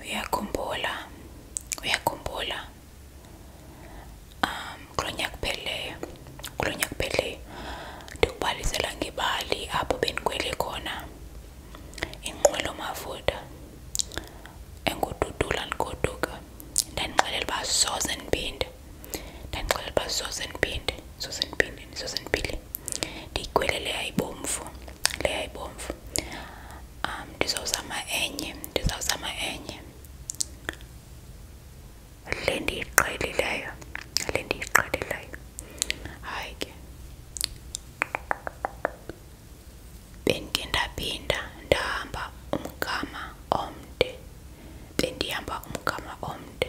uyakhumbula uyakhumbula um kulo nyaka upheleyo kulo nyaka upheleyo ngebali apho bendikhwele khona inqwelo mafutha engududula ndandixelela uba soze ndiphinde ndandixelela uba soze ndiphinde soze ndiphinde ndiyikhwele leya ibomvu leya ibomvu um ndizawuzama enye ndizawuzama enye le ndiyiqhelileyo le ndiyiqhelileyo hayi ke bendike ndaphinda ndahamba umgama omde bendihamba umgama omde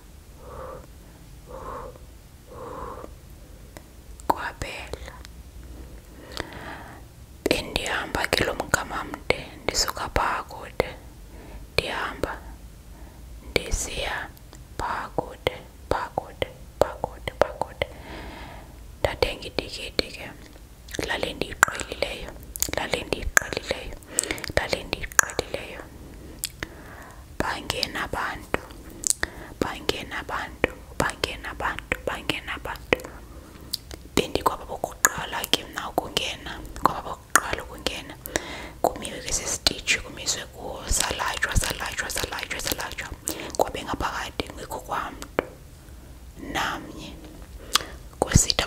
kwabhela bendihamba kilo mgama mde ndisuka phaa ndihamba ndisiya phaa kude phaa kude phaa ke lale ndiyiqhelileyo lale ndiyiqhelileyo ndale ndiyiqhelileyo bangenabantu bangenabantu bangenabantu bangenabantu bendikwaba bokuqala ke mna ukungena kwaba bokuqala ukungena kumiwe kwesi sititshi kumiswe kuwo salatshwa salatshwa salatshwa salatshwa kwabe ngaphakathi ngekho kwamntu namnye kwesitha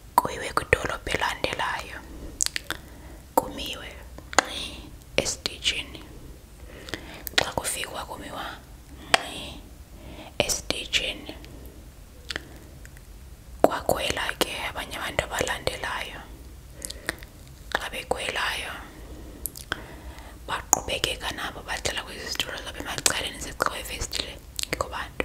kuyiwe kwidolophu elandelayo kumiwe nxi esitishini xa kufikwa kumiwa nxi esitishini kwakhwela ke abanye abantu abalandelayo xa bekhwelayo baqhubekeka nabo badlala kwezi zitulo zabo emacaleni zicikwa ifestile ngikho bantu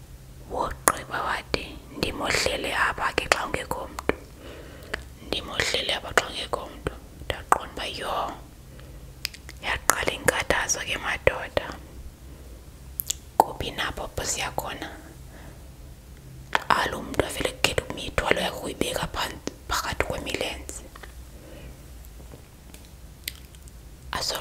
wogqiba wathi ndimohlele apha ke xa ungekho mntu ndimohlele apha xa ungekho mntu ndaqonda uba yho yaqala inkathazo ke madoda kuphi napho apho khona xa lo mntu avele kukhetha umithwalo yakho uyibeka phakathi kwemilenze aso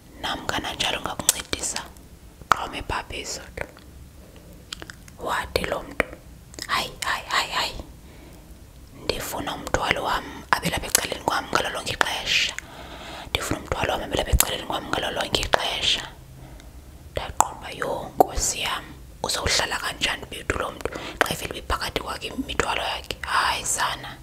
namkananjalo ngakuncedisa xa umebhabha izolo wade lo mntu hayi hayi hayi hayi ndifuna umthwalo wam abelapha ecaleni kwam ngalo lonke ixesha ndifuna umthwalo wam abelapha ecaleni kwam ngalo lonke ixesha ndaqomba yho nkosi yam uzowuhlala kanjani bethu lo mntu xa ivele ibiphakathi kwakhe imithwalo yakhe hayi sana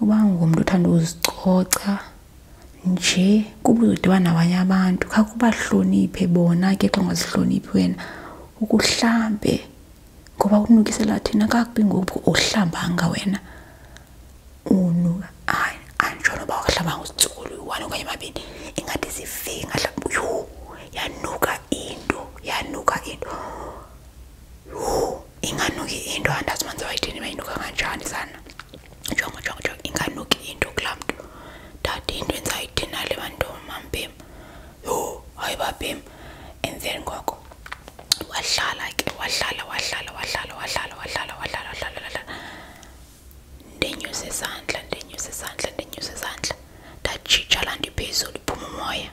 uba ngumntu uthanda uzicoca nje kuba uzodibana nabanye abantu khakho ubahloniphe bona ke xa ungazihloniphi wena ukuhlambe ngoba ukunukisela thina kakubi ngoku uhlambanga wena unuka hayi anditshono uba wahlambanga uzitsukulu one okanye mabini ingathi ziveki ngahlamba yhu yanuka into yanuka into inganuki into andazimanzi wayithini bayinuka kanjani sana jonga jonga jonga inganuki into kulaa mntu dade into endizayithini nale bantomambim yho hayi babim and then ngoko wahlala ke wahlala wahlala wahlala wahlala wahlala wahlala wahlala wahlala ndenyusa isandla ndenyusa isandla ndenyusa isandla ndajitsha laa nto iphezulu iphuma umoya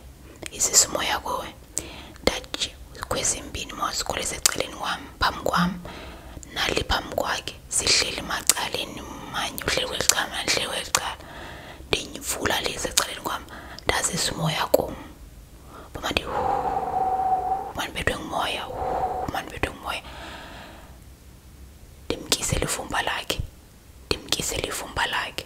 isisa umoya kuwe daji kwezimbini mawuzikhule seceleni kwami phambi kwami nali phambi kwakhe sihleli macaleni manye uhleli kweli cala mna ndihleli kweli cala ndiyivula le seceleni kwami ndazisa umoya kum uma ndi mandibethwe ngumoya mandibethwe ngumoya ndimkise livumba lakhe ndimkise livumba lakhe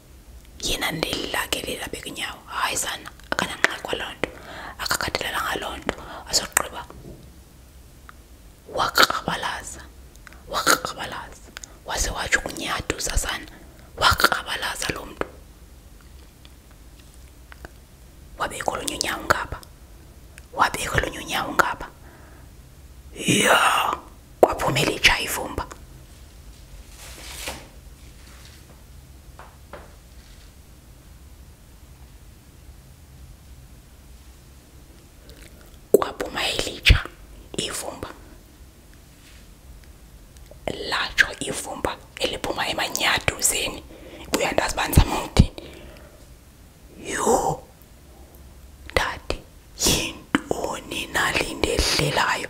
yina ndililakilila bekunyawo hayi sana akananxaki kwaloo nto akakhathalelanga loo nto asogqiba wakrabalaza wakrabalaza waze watsho kunyaduza sana wakrabalaza loo mntu wabekho olunye unyawo ngapha wabekho olunye unyawo ngapha ya kwaphumela itsha ivumba kwaphuma ilitsha ivumba latsho ivumba eliphuma emanyaduzeni buya ndazibandizama umdini yho dade yintoni nalinde ehlelayo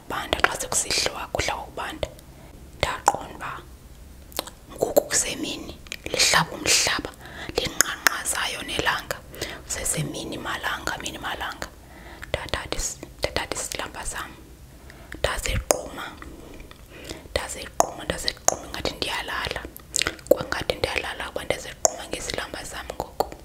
kokubanda xa sekusihlwa kudla kokubanda ndaqonda uba ngoku kusemini lihlaba umhlaba linqanqazayo nelanga kusesemini malanga mini malanga ndathatha isilamba sam ndaziquma ndaziquma ndaziquma ingathi ndiyalala kwangathi ndiyalala kuba ndaziquma ngesilamba sam ngoku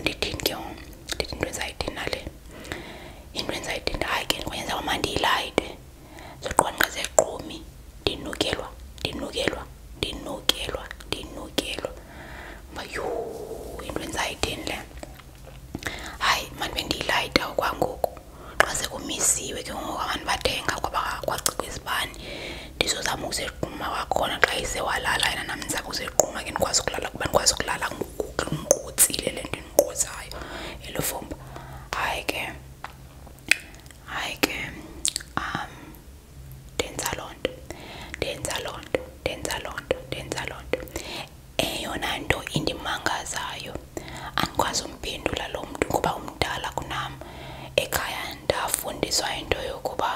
ndithinke ndithi into endizayithini nale into endizayithini hayi ke ndikwenza uma ndiyilayite zoqwanqa zequmi ndinukelwa ndinukelwa ndinukelwa ndinukelwa uba yhuu into endizayithini le hayi mandibe ndiyilayita okwangoku xa sekumisiwe ke ngoku abantu bathenga kwabacikwa izibane ndizozama uma wakhona xa isewalala yena nam ndizama uziquma ke ndikwazi ukulala kuba ndikwazi ukulala nqutsile le nto indiqutsayo elo fumba hayi ke hayi ke um ndenza loo nto ndenza loo nto ndenza loo nto ndenza loo nto eyona nto indimangazayo andikwazi umphendula lo mntu kuba umdala kunam ekhaya ndafundiswa into yokuba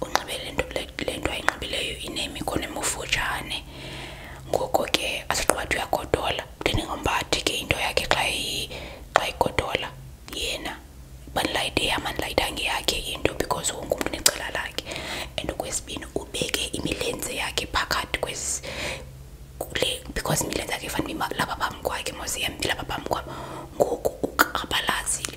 wena unxibe le nto ayinxibileyo inemikhono emufutshane ngoko ke asogqibathi uyagodola uthini ngombathi ke into yakhe xa xa igodola yena bandilayite yamandilayitanga yakhe into because wonke umntu necala lakhe and okwesibini ubeke imilenze yakhe phakathi kwezi le because imilenze yakhe fanele lapha phambi kwakhe mos iyambila lapha phambi kwam ngoku ukrabalazile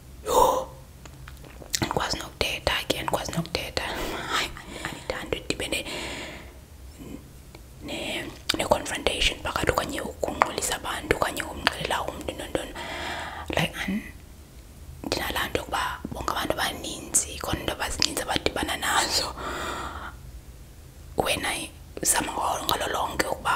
nilikuwa sinakuteta aki nilikuwa sinakuteta anitandidibende ne-confrontation ne phakathi okanye ukunqulisa abantu okanye umxelela umntu nontoni like ndinalaa nto yokuba bonke abantu abaninzi khona into abazininzi abadibana nazo wena zama ngalo lonke ukuba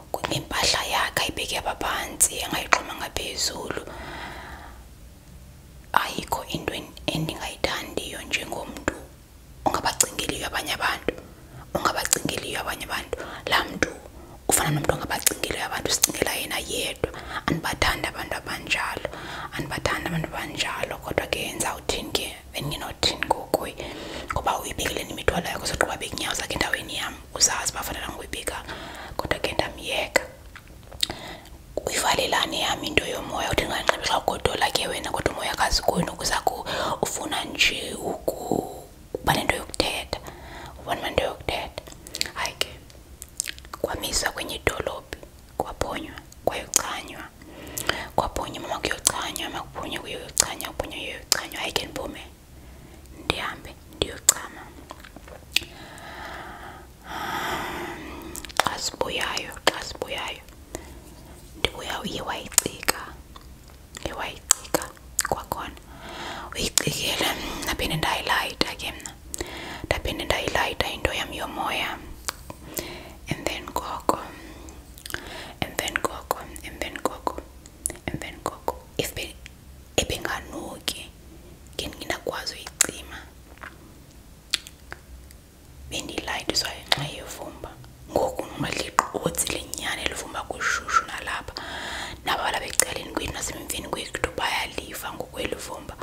impahla yakhe ayibekeba phansi angayixhoma ngaphezulu ayikho into endingayithandiyo njengomntu ongabacingeliyo abanye abantu ongabacingeliyo abanye abantu laa mntu ufana nomntu ongabacingeliyo abantu sicingela yena yedwa andibathandi abantu abanjalo andibathandi abantu abanjalo kodwa ke ndizawuthini ke bendinothini ngokuye ngoba uyibekile nemithwalo yakho sogqiba bekunyawo zakhe endaweni yam uzazi bafanana ngwibika kodwa ke ndamyeka uyivalelane yami into yomoya uthi ndinganxibela ugodola ke wena kodwa umoya kazi kweni ku ufuna nje ukuba nento yokuthetha ubona into yokuthetha hayi ke kwamiswa kwenye idolophi kwaphonywa kwayochanywa kwaphonywa mama kuyochanywa makuphonywa kuyochanywa kuphonywa kuyochanywa hayi ke ndibume ndihambe ndiyochama xa sibuyayo xa sibuyayo ndibuya uye wayicika ewayicika kwakhona uyicikile ndaphinde ndayilayita ke mna ndaphinde ndayilayita into yam yomoya emveni koko emveni koko emveni koko emveni koko if ebenganuki ngendingakwazi uyicima bendiyilayithiswa ngenxa yevumba ngoku nqadliqotsi lenyani elivumba kushushu nalapha nabalapha ecaleni kwethu nasemveni kwethu bayaliva ngokweli vumba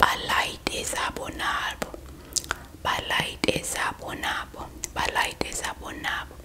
balayite zabo nabo balayite zabo nabo balayite zabo nabo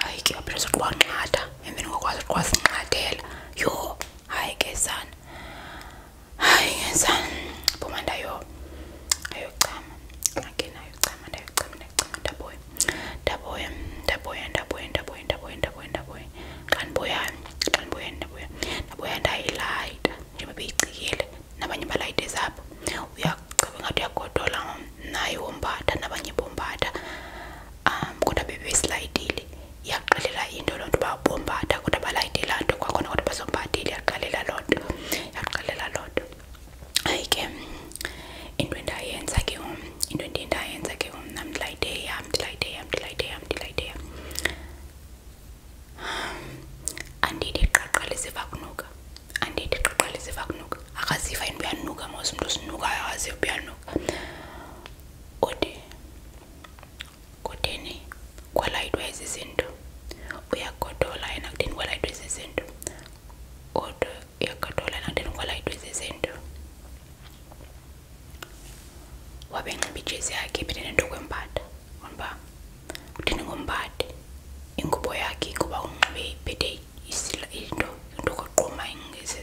hayi ke aphinde sothi kwanqatha emveni kokwazi ukuthi kwasinqathela yho hayi ke sana hayi ke sana phuma ndayo ayochama again ayochama ndayochama ndayochama ndaboya ndaboya ndaboya ndaboya ndaboya ndaboya ndaboya ndaboya xa ndiboyani xa ndiboyani ndaboya ndaboya ndayilayita njengoba beyicikile nabanye balayite zabo uyachabe ngathi uyagodola naye wombatha nabanye bombatha um kodwa bebeyizilayitile into loo nto uba kodwa balayite nto kwakhona kodwa bazombhathile yaqalela loo nto yaqalela loo nto hayi ke into endayenza ke um into endiye ke um nam ndilayite yam kunuka andithi kunuka akaziva umntu usinukayo udi kudini kwalayidwa izizinto uyagodola yena kudini kwalayidwa izizinto ude uyagodola yena kudini kwalayidwa izizinto wabe enxiba ijezi yakhe iphinde nento kwembada uba kudini ngombade ingubo yakhe kuba unxibe ibhede into into koquma ingeze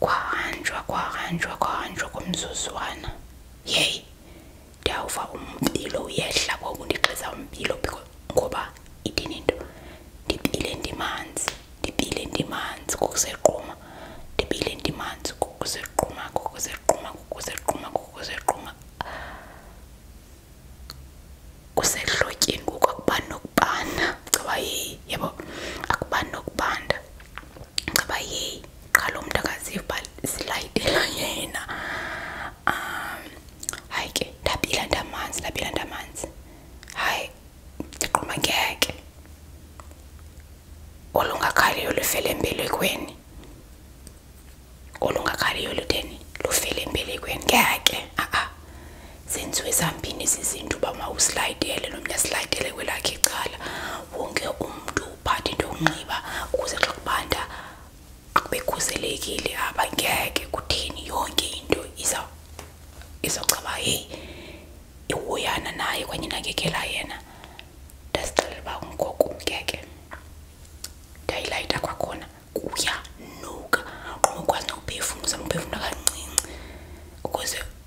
kwahanjwa kwahanjwa kwahanjwa komzuzwana yeyi ndiyawuva umpilo uyehla ngoku ndigqiza umpilo ngoba ithini into ndipile ndimanzi ndipile ndimanzi kokusequma ndipile ndimanzi kokusequma kokusequma kokusequma kokusequma kusehlotyeni ngoku akubani nokubana caba yeyi yabo akubani nokubanda ngaba yeyi kalo mntu akaziva silayidela yena um hayi ke ndabila ndamanzi ndabila ndamanzi hayi ndiqhumekeke olungakhaliyo lufele empelekweni olungakhaliyo lutheni lufele empelekweni ngeke a-a zenziwe zambini zizinto uba mawusilayidele nomnye asilayidele kwelakhe icala wonke umuntu uphathe into yokunxiba ukuze xa kubanda akubekhuselekile apha ngeke kutheni yonke into izawucaba heyi ihoyana naye kwanye nakekela yena ndazixelela uba ngoko ngeke ndayilayita kwakhona kuyanuka qoma ukwazi nokuphefumla uzama kancinci ukuze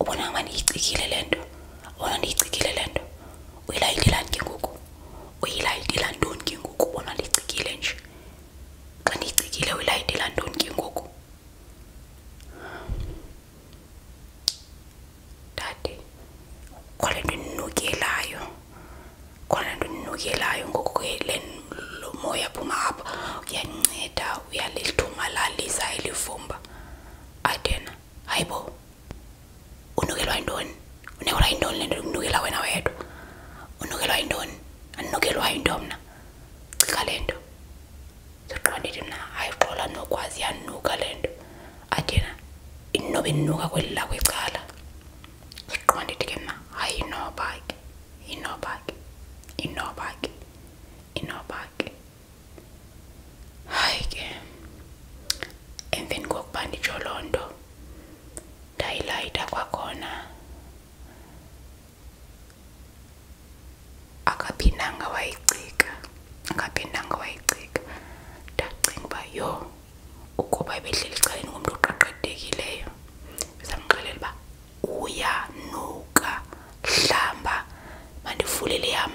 ubona ngama le nto ubona ndiyicikile le nto uyilayitelani ke ngoku uyilayitela ntoni ke ngoku ubona ndiyicikile nje xa ndiyicikile uyilayitela ntoni ke ngoku dade khona le nto ndinukelayo khona le nto ndinukelayo ngoku ke le moya phuma apha uyanceda uyalithumalalisa elivumba adena hayibo unukelwa yintoni unekelwa yintoni le nto yokunukela wena wedwa unukelwa yintoni andinukelwa yinto mna cika le nto ndithi mna hayi xola nokwazi yanuka le nto athi yena nuka inuka kweli lakho icala ndiqonda ndithi ke mna hayi inoba ke inoba hayi ke emveni kokuba nditsho loo nto ndayilayita kwakhona akaphindanga wayicika akaphindanga wayicika ndacinga uba yho ukuba ebehleli ecaleni ngumntu oqaqadekileyo ndizamxelela uba uyanuka hlamba mandivulele yam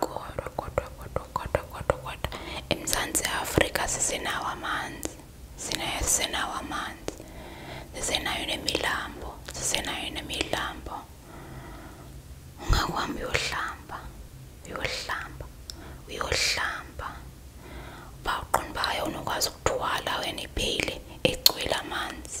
kodwa kodwa kodwa kodwa kodwa kodwa emzantsi afrika sisenawo amanzi sisenawo amanzi sisenayo nemilambo sisenayo nemilambo ungakuhambi uyohlamba uyohlamba uyohlamba uba uqonda uba unokwazi ukuthwala wena ibheyile egcwele amanzi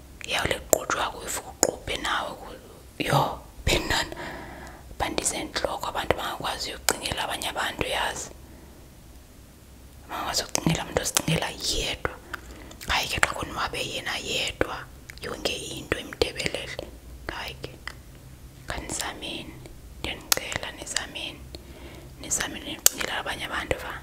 yawuliqutshwa kuyifuququbhe nawe yo phendana bandizentloko abantu bangakwazi ukucingela abanye abantu yazi bangakwazi ukucingela mntu ozicingela yedwa hayi ke xa konwabe yena yedwa yonke into imdebelele hayi ke khanizameni ndiyanicela nizameni nizameni nicingela abanye abantu va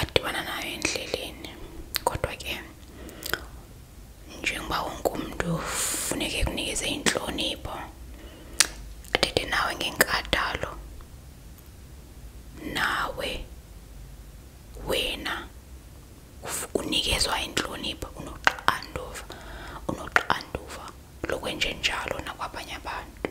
adibana nayo endleleni kodwa ke njengoba wonke umuntu funeke kunikeze inhlonipho athethe nawe ngenkadalo nawe wena unikezwa inhlonipho unoxanduva unoxanduva lokwenjenjalo nakwabanye abantu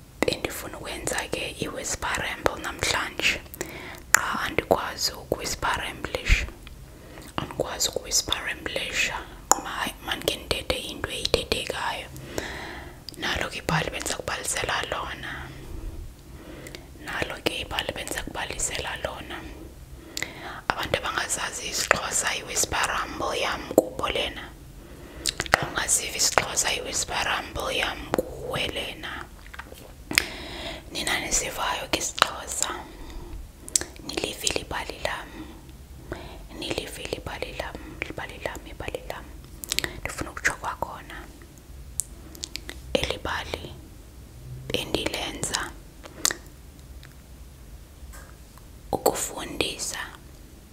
endifuna ukwenza ke iwhisperamble namhlanje qha andikwazi ukuwhisperamblish andikwazi ukuwhisperamblish quma mandike ndithethe into eyithethekayo nalo ke ibhali bendiza kubalisela lona nalo ke ibhali bendiza kubalisela lona abantu abangazazi isixhosa iwhisperamble yam kubo lena angazivi sixhosa iwisparamble yam kuwelena nina nisivayo kisixhosa nilivile ibali lam nilivile ibali lam libali lam ibali lam ndifuna ukutsho kwakhona eli bali bendilenza ukufundisa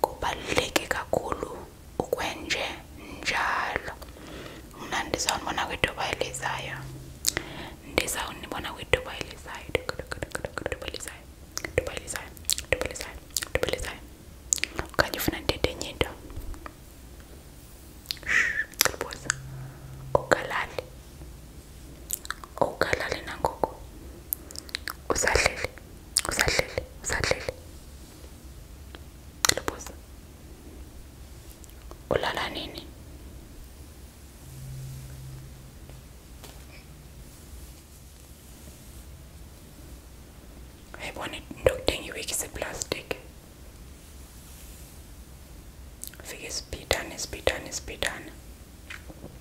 kubaluleke kakhulu ukwenje njalo mna ndizawunibona kwithuba elizayo ndizawunibona kwithuba elizayo thuba elizayo thuba elizayo thuba elizayo okanye ufuna ndithethe enye into celibuza ugalali ugalale nangoku usadlile usadlile usadlile lubuza ulala nini yayibona into kuthenga iwiki seplastiki fika isibhidane isibhidane isibhidane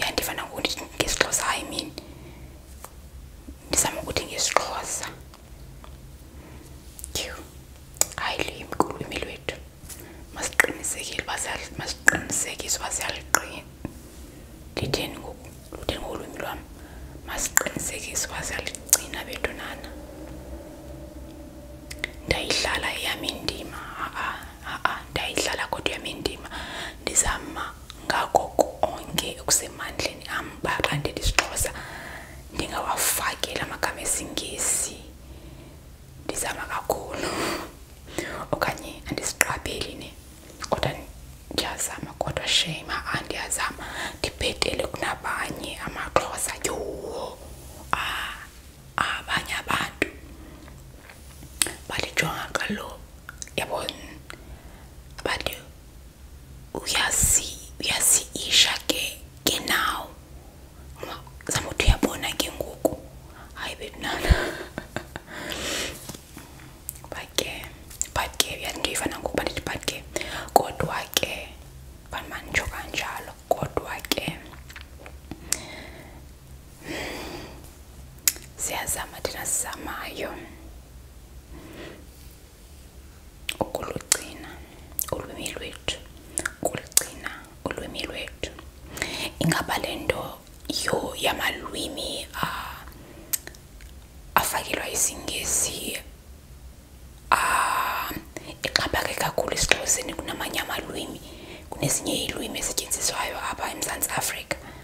yeah ndivana ngokuthi ngesixhosa i mean ndizama ukuthi ngesixhosa yu hayi luyimkulu ulwimi lwethu masiqinisekile masiqinisekise uba siyaliqina litheni ngoku lutheni ngolwimi lwam masiqinisekise uba siyaligcina bedonana ndayidlala eyam indima a-a a-a ndayidlala kodwa eyam indima ndizama ngako konke okusemandleni am xa ndithetha isixhosa ndingawafakeli amagama esingesi ndizama kakhulu okanye andisiqabeli ne kodwa ndiyazama kodwa shame a ndibhetele kunabanye amaxhosa yowo ah, abanye abantu balijonga kalo yabona abantu uyasiisha ke ke nawo zama uthi uyabona ke ngoku hayi betunana but ke but ke uyathi ifana ngokuba ndithi but ke kodwa ke banmanitsho kanjalo kodwa ke siyazama thina sizamayo ukulugcina ulwimi lwethu ukulugcina ulwimi lwethu ingaba le nto yo yamalwimi uh, afakelwa isingesi uh, ixhaphake kakhulu esixhoseni kunamanye amalwimi kunezinye iilwimi ezityenziswayo apha emzantsi afrika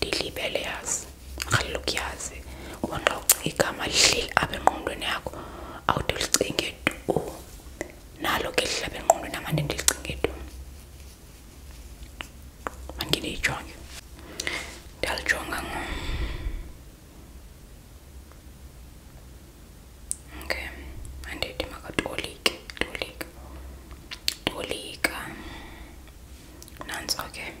lilibele yazi ngaloku yazi uba xa apha engqondweni yakho awude ulicinge tu nalo ke engqondweni amande ndilicinge ndiyijonge ndalijonga ngo okay andithi makatolike tolika nantso ke okay.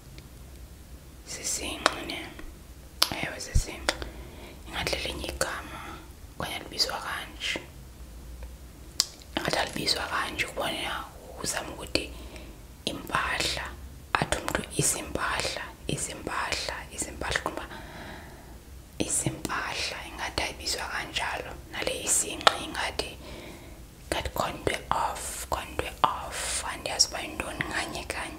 zisinqi ne ewe zisinqi ingathi lelinye igama okanye libizwa kanje ingathi alibizwa kanje kubona uzama ukuthi impahla athi umntu izimpahla izimpahla izimpahla kumba izimpahla ingathi ayibizwa kanjalo nale isinqi ingathi ngathi khona into off khona into off andiyazi uba yintoni nganye kanye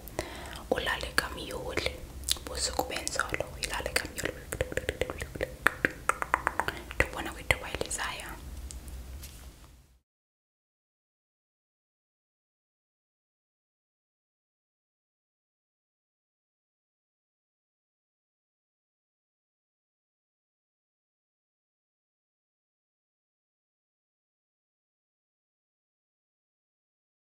ulale kamyoli busuku benzolo uyilale kamyoli tubona kwithuba elizayo